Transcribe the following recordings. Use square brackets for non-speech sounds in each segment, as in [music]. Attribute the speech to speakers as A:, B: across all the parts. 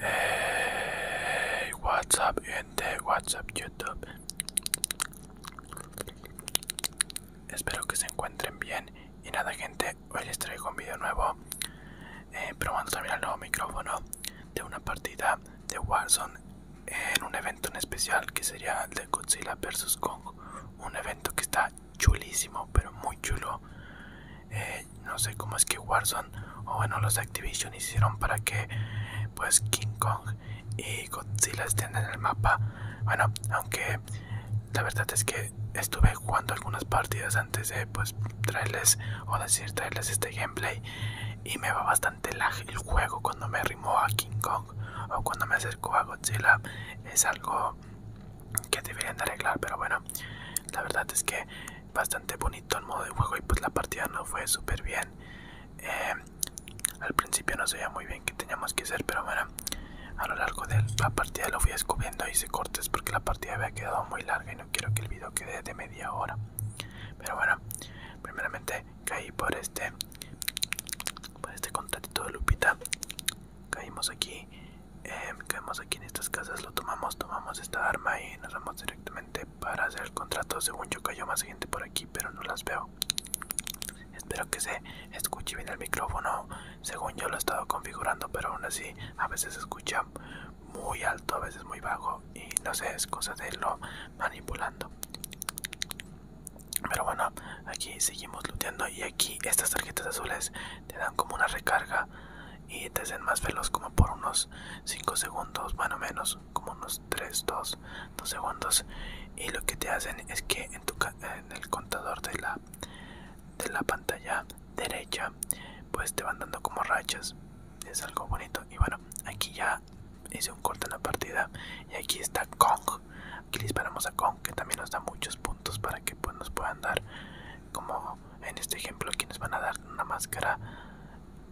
A: Hey, what's up, gente? What's YouTube? Espero que se encuentren bien. Y nada, gente, hoy les traigo un video nuevo. Eh, probando también el nuevo micrófono de una partida de Warzone en un evento en especial que sería el de Godzilla vs. Kong un evento que está chulísimo, pero muy chulo. Eh, no sé cómo es que Warzone o bueno los Activision hicieron para que pues King Kong y Godzilla estén en el mapa. Bueno, aunque la verdad es que estuve jugando algunas partidas antes de pues traerles o decir traerles este gameplay y me va bastante el juego cuando me arrimó a King Kong o cuando me acerco a Godzilla es algo que deberían de arreglar pero bueno la verdad es que bastante bonito el modo de juego y pues la partida no fue súper bien eh, al principio no se veía muy bien qué teníamos que hacer pero bueno a lo largo de la partida lo fui descubriendo hice cortes porque la partida había quedado muy larga y no quiero que el vídeo quede de media hora pero bueno primeramente caí por este para este contacto de Lupita caímos aquí em, aquí en estas casas lo tomamos tomamos esta arma y nos vamos directamente para hacer el contrato según yo cayó más gente por aquí pero no las veo espero que se escuche bien el micrófono según yo lo he estado configurando pero aún así a veces se escucha muy alto a veces muy bajo y no sé es cosa de lo manipulando pero bueno, aquí seguimos looteando y aquí estas tarjetas azules te dan como una recarga y te hacen más veloz como por unos 5 segundos, bueno menos, como unos 3, 2, 2 segundos. Y lo que te hacen es que en, tu, en el contador de la, de la pantalla derecha pues te van dando como rachas. Es algo bonito. Y bueno, aquí ya hice un corte en la partida y aquí está Kong aquí disparamos a Kong que también nos da muchos puntos para que pues nos puedan dar como en este ejemplo aquí nos van a dar una máscara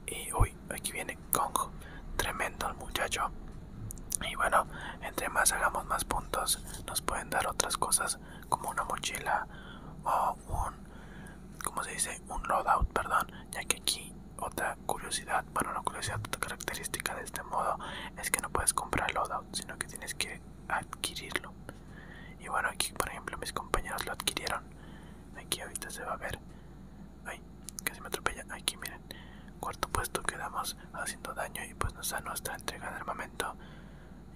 A: y uy aquí viene Kong tremendo el muchacho y bueno entre más hagamos más puntos nos pueden dar otras cosas como una mochila o un como se dice un loadout perdón ya que aquí otra curiosidad, bueno, una curiosidad característica de este modo es que no puedes comprar loadout, sino que tienes que adquirirlo. Y bueno, aquí por ejemplo mis compañeros lo adquirieron. Aquí ahorita se va a ver. Ay, casi me atropella. Aquí miren. Cuarto puesto quedamos haciendo daño y pues nos da nuestra entrega de armamento.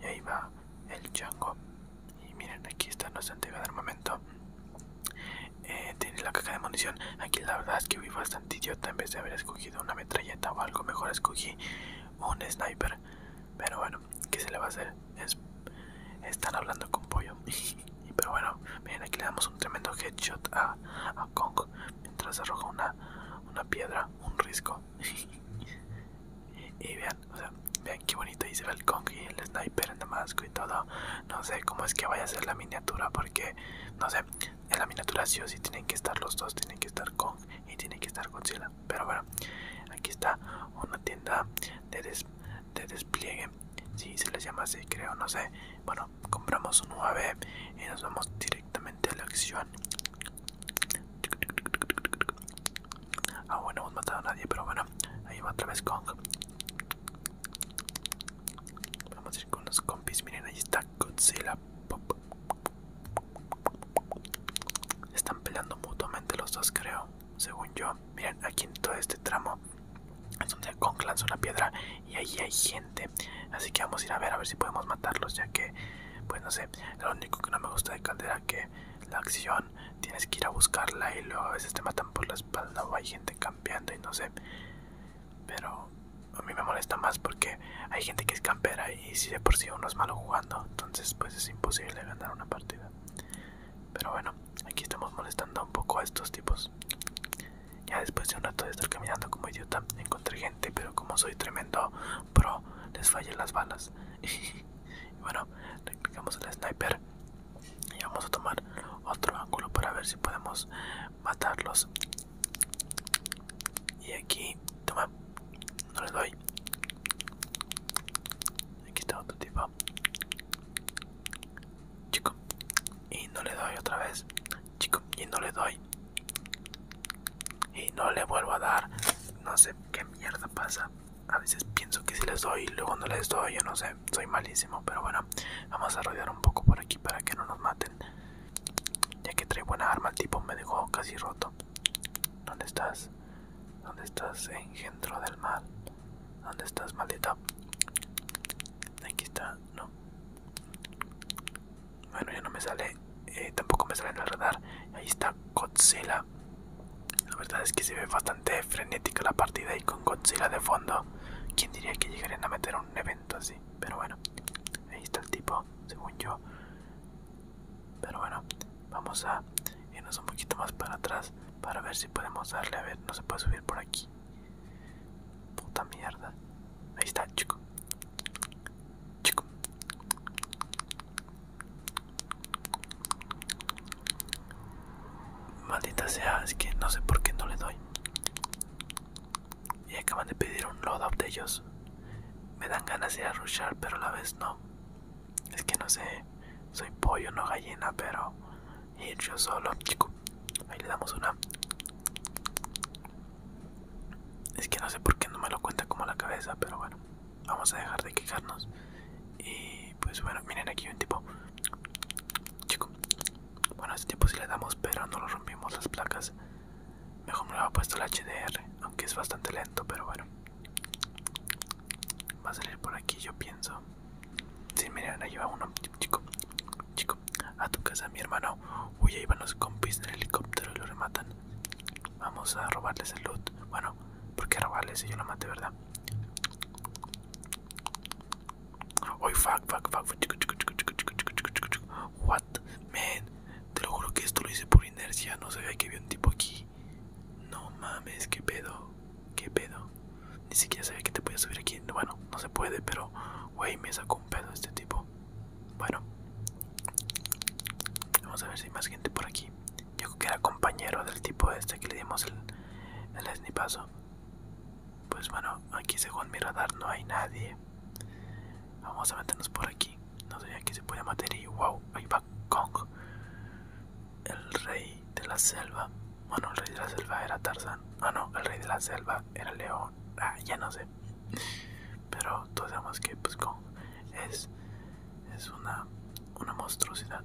A: Y ahí va el chango. Y miren, aquí está nuestra entrega de armamento. Eh, tiene la caja de munición. Aquí la verdad es que fui bastante idiota. En vez de haber escogido una metralleta o algo, mejor escogí un sniper. Pero bueno, ¿qué se le va a hacer? Es, están hablando con pollo. [laughs] Pero bueno, miren, aquí le damos un tremendo headshot a, Kong mientras arroja una, piedra, un risco. [laughs] y vean, o sea, vean qué bonito ahí se ve el Kong y el sniper en Damasco y todo. No sé cómo es que vaya a ser la miniatura porque, no sé, en la miniatura sí o sí tienen que estar los dos, tienen que estar con y tienen que estar con Pero bueno, aquí está una tienda de, de despliegue, si se les llama así, creo, no sé. Bueno, compramos un UAV y nos vamos directamente a la acción. Ah, bueno, hemos matado a nadie, pero bueno, ahí va otra vez Kong. Vamos a ir con los compis. Miren, ahí está Godzilla. están peleando mutuamente los dos, creo. Según yo. Miren, aquí en todo este tramo es donde Kong lanza una piedra y ahí hay gente. Así que vamos a ir a ver a ver si podemos matarlos, ya que, pues no sé, lo único que no me gusta de Caldera que la acción tienes que ir a buscarla y luego a veces te matan por la espalda o hay gente cambiando y no sé. Pero a mí me molesta más porque hay gente que es campera y si de por sí uno es malo jugando, entonces pues es imposible ganar una partida. Pero bueno, aquí estamos molestando un poco a estos tipos. Ya después de un rato de estar caminando como idiota, encontré gente, pero como soy tremendo pro, les fallé las balas. [laughs] y bueno, clicamos el sniper y vamos a tomar otro ángulo para ver si podemos matarlos y aquí toma no le doy aquí está otro tipo chico y no le doy otra vez chico y no le doy y no le vuelvo a dar no sé qué mierda pasa a veces pienso que si les doy y luego no les doy yo no sé soy malísimo pero bueno Vamos a rodear un poco por aquí para que no nos maten. Ya que traigo buena arma, el tipo me dejó casi roto. ¿Dónde estás? ¿Dónde estás, engendro del mal? ¿Dónde estás, maldito Aquí está, no. Bueno, ya no me sale. Eh, tampoco me sale en el radar. Ahí está Godzilla. La verdad es que se ve bastante frenética la partida y con Godzilla de fondo. ¿Quién diría que llegarían a meter un evento así? Pero bueno, ahí está el tipo, según yo. Pero bueno, vamos a irnos un poquito más para atrás para ver si podemos darle. A ver, no se puede subir por aquí. Puta mierda. Ahí está, chico. Chico. Maldita sea, es que no sé por qué no le doy. Y acaban de pedir un loadout de ellos. Me dan ganas de ir a rushar, pero a la vez no. Es que no sé, soy pollo, no gallina, pero ir yo solo, chico. Ahí le damos una. Es que no sé por qué no me lo cuenta como la cabeza, pero bueno, vamos a dejar de quejarnos. Y pues bueno, miren aquí un tipo. Chico, bueno, este tiempo sí le damos, pero no lo rompimos las placas. Mejor me lo ha puesto el HDR, aunque es bastante lento, pero bueno. Va a salir por aquí, yo pienso. Sí, miren, ahí va uno. Chico, chico, a tu casa, mi hermano. Uy, ahí van los compis en helicóptero y lo rematan. Vamos a robarles el loot. Bueno, porque robarles si yo lo maté, verdad? Oy, fuck, fuck, fuck. What? Man, te lo juro que esto lo hice por inercia. No sabía que había un tipo aquí. No mames, qué pedo. Qué pedo. Ni siquiera sabía que te podías subir aquí. Bueno, no se puede, pero, wey, me sacó un pedo este tipo. Bueno, vamos a ver si hay más gente por aquí. Yo creo que era compañero del tipo este que le dimos el, el snipazo. Pues bueno, aquí según mi radar no hay nadie. Vamos a meternos por aquí. No sé, qué se puede meter y wow, ahí va Kong. El rey de la selva. Bueno, el rey de la selva era Tarzan. Ah, no, el rey de la selva era León. Ah, ya no sé. Pero todos sabemos que pues Kong es, es una, una monstruosidad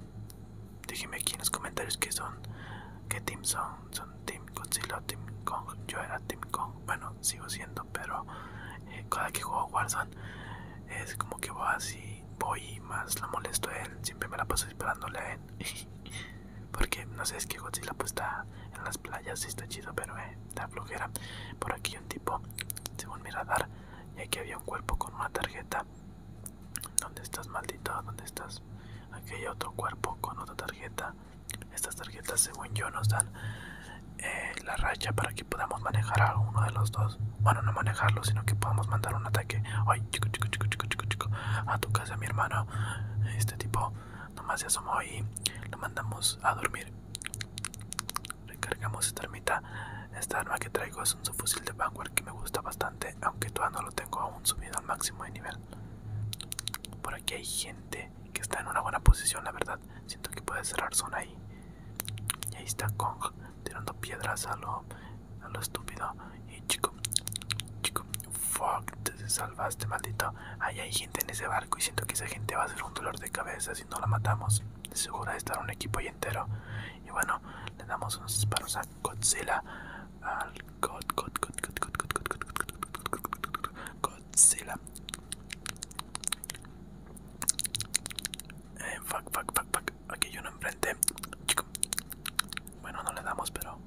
A: déjeme aquí en los comentarios que son, Que team son, son Team Godzilla, Team Kong. Yo era Team Kong, bueno, sigo siendo, pero eh, cada que juego Warzone es como que voy así, voy y más la molesto a él, siempre me la paso disparándole a él. [laughs] Porque no sé, es que Godzilla pues está en las playas y está chido, pero eh, está flojera. Por aquí un tipo, según mi radar, y aquí había un cuerpo con una tarjeta ¿Dónde estás, maldito? ¿Dónde estás? Aquí otro cuerpo con otra tarjeta. Estas tarjetas, según yo, nos dan eh, la racha para que podamos manejar a uno de los dos. Bueno, no manejarlo, sino que podamos mandar un ataque. Ay, chico, chico, chico, chico, chico, chico. A tu casa, mi hermano. Este tipo nomás se asomó y lo mandamos a dormir. Recargamos esta armita. Esta arma que traigo un subfusil de Vanguard que me gusta bastante, aunque todavía no lo tengo aún subido al máximo de nivel. Por aquí hay gente que está en una buena posición, la verdad. Siento que puede cerrar zona ahí. Y ahí está Kong tirando piedras a lo, a lo estúpido. Y chico, chico, fuck, te salvaste, maldito. Ahí hay gente en ese barco y siento que esa gente va a ser un dolor de cabeza si no la matamos. seguro de estar un equipo entero. Y bueno, le damos unos disparos a Godzilla, al God, God, God, God, God, God, God, God, Godzilla. Eh, fuck, fuck, fuck, fuck. Aquí hay uno enfrente. Bueno, no le damos, pero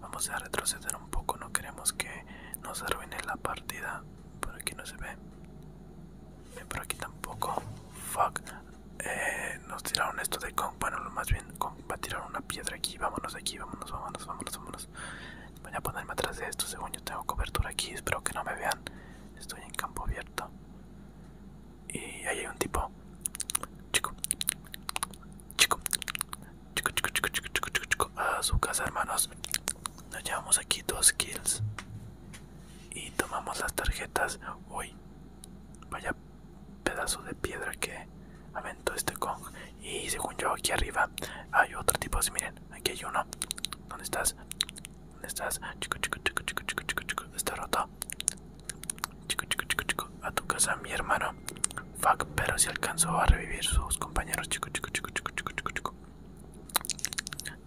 A: vamos a retroceder un poco. No queremos que nos arruine la partida. Por aquí no se ve. Por aquí tampoco. Fuck. Eh, nos tiraron esto de Kong. Bueno, más bien Kong tirar una piedra aquí. Vámonos aquí, vámonos, vámonos, vámonos, vámonos. Voy a ponerme atrás de esto. Según yo tengo cobertura aquí. Espero que no me vean. Estoy en campo abierto. Y ahí hay un tipo. Chico. Chico. Chico, chico, chico, chico, chico, chico, chico. A su casa, hermanos. Nos llevamos aquí dos kills. Y tomamos las tarjetas. hoy Vaya pedazo de piedra que aventó este con Y según yo, aquí arriba hay otro tipo así. Miren, aquí hay uno. ¿Dónde estás? ¿Dónde estás? Chico, chico, chico, chico, chico, chico, chico. Está roto. Chico, chico, chico, chico. A tu casa, mi hermano. Fuck, pero si alcanzó a revivir sus compañeros. Chico, chico, chico, chico, chico, chico, chico.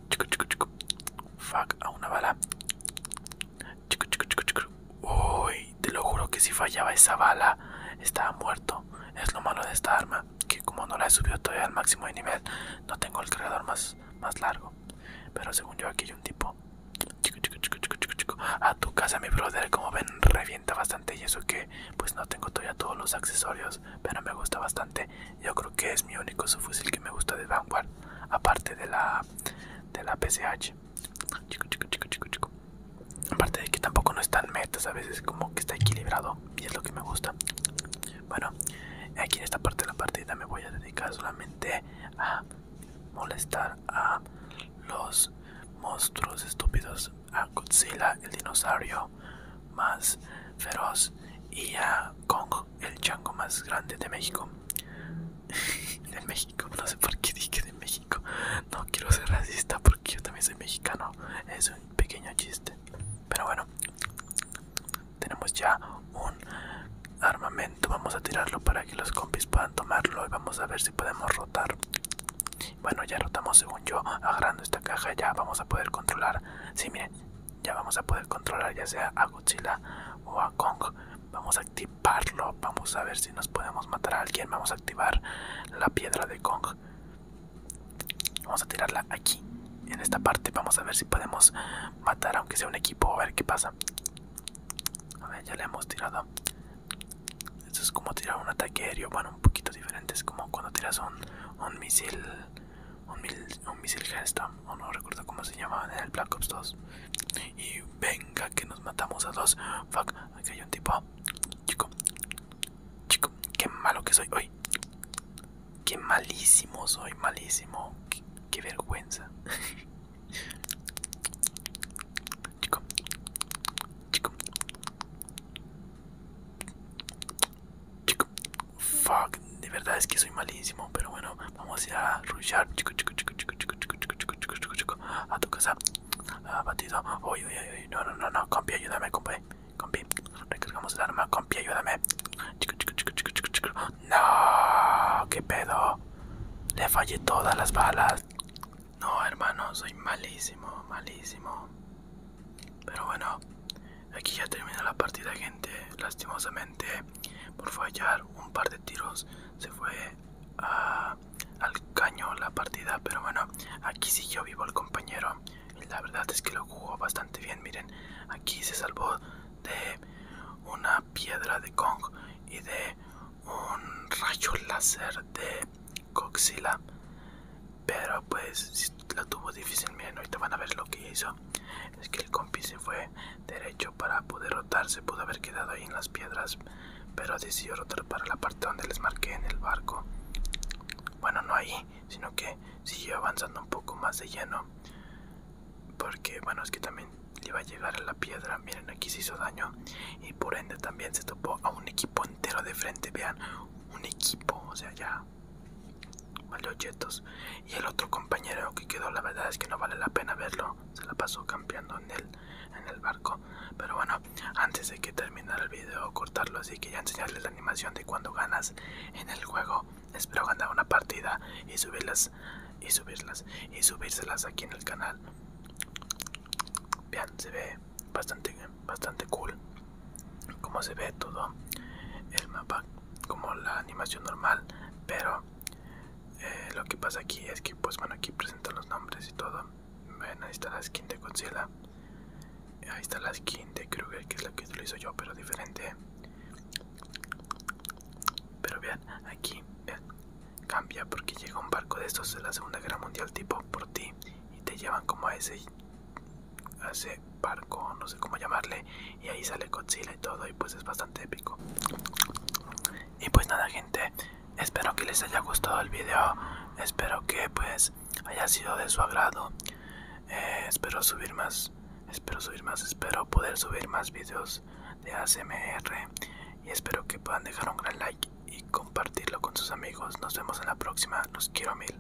A: Chico, chico, chico. Fuck, a una bala. Uy, te lo juro que si fallaba esa bala, estaba muerto. Es lo malo de esta arma, que como no la he subido todavía al máximo de nivel, no tengo el cargador más, más largo. Pero según yo aquí hay un tipo. A tu casa, mi brother, como ven, revienta bastante y eso que pues no tengo todavía todos los accesorios, pero me gusta bastante. Yo creo que es mi único subfusil que me gusta de Vanguard, aparte de la de la PCH. Chico, chico, chico, chico, chico. Aparte de que tampoco no están metas, a veces como que está equilibrado y es lo que me gusta. Bueno, aquí en esta parte de la partida me voy a dedicar solamente a molestar a los monstruos estúpidos, a Godzilla, el dinosaurio más feroz y a Kong el chango más grande de México. [laughs] de México, no sé por qué dije de México. No quiero ser racista porque yo también soy mexicano. Es un pequeño chiste. Pero bueno, tenemos ya un armamento. Vamos a tirarlo para que los compis puedan tomarlo y vamos a ver si podemos rotar. Bueno, ya rotamos según yo. Agarrando esta caja ya vamos a poder controlar. Sí, miren, ya vamos a poder controlar ya sea a Godzilla o a Kong vamos a activarlo vamos a ver si nos podemos matar a alguien vamos a activar la piedra de Kong vamos a tirarla aquí en esta parte vamos a ver si podemos matar aunque sea un equipo a ver qué pasa a ver ya le hemos tirado esto es como tirar un ataque aéreo bueno un poquito diferente es como cuando tiras un, un misil un, misil o no recuerdo cómo se llamaba en el Black Ops 2. Y venga, que nos matamos a dos. Fuck, aquí hay un tipo. Chico, chico, qué malo que soy hoy. Qué malísimo soy, malísimo. Que vergüenza. [laughs] chico, chico, chico, Fuck, de verdad es que soy malísimo, pero bueno, vamos a ir a rushar a tu casa. Ah, batido, uy, uy, uy, no, no, no, no, compi, ayúdame, compi, compi, recargamos el arma, compi, ayúdame. No, qué pedo, le fallé todas las balas. No, hermano, soy malísimo, malísimo. Pero bueno, aquí ya termina la partida, gente. Lastimosamente, por fallar un par de tiros se fue al caño la partida. Pero bueno, aquí siguió vivo el compañero. Y la verdad es que lo jugó bastante bien. Miren, aquí se salvó de una piedra de Kong y de un rayo láser de Coxila. Pero pues la tuvo difícil. Miren, ahorita van a ver lo que hizo. Es que el compi se fue derecho para poder rotar se pudo haber quedado ahí en las piedras pero decidió rotar para la parte donde les marqué en el barco bueno no ahí sino que siguió avanzando un poco más de lleno porque bueno es que también le iba a llegar a la piedra miren aquí se hizo daño y por ende también se topó a un equipo entero de frente vean un equipo o sea ya objetos Y el otro compañero que quedó, la verdad es que no vale la pena verlo. Se la pasó campeando en el, en el barco. Pero bueno, antes de que terminar el video, cortarlo. Así que ya enseñarles la animación de cuando ganas en el juego. Espero ganar una partida y subirlas, y subirlas, y subírselas aquí en el canal. Vean, se ve bastante, bastante cool. Como se ve todo el mapa como la animación normal pero eh, lo que pasa aquí es que pues bueno aquí presentan los nombres y todo ven ahí está la skin de Godzilla ahí está la skin de Kruger que es la que utilizo yo pero diferente pero vean aquí cambia porque llega un barco de estos de la segunda guerra mundial tipo por ti y te llevan como ese a ese barco, no sé cómo llamarle, y ahí sale Godzilla y todo, y pues es bastante épico. Y pues nada gente, espero que les haya gustado el video, espero que pues haya sido de su agrado, eh, espero subir más, espero subir más, espero poder subir más videos de ACMR y espero que puedan dejar un gran like y compartirlo con sus amigos. Nos vemos en la próxima, los quiero mil.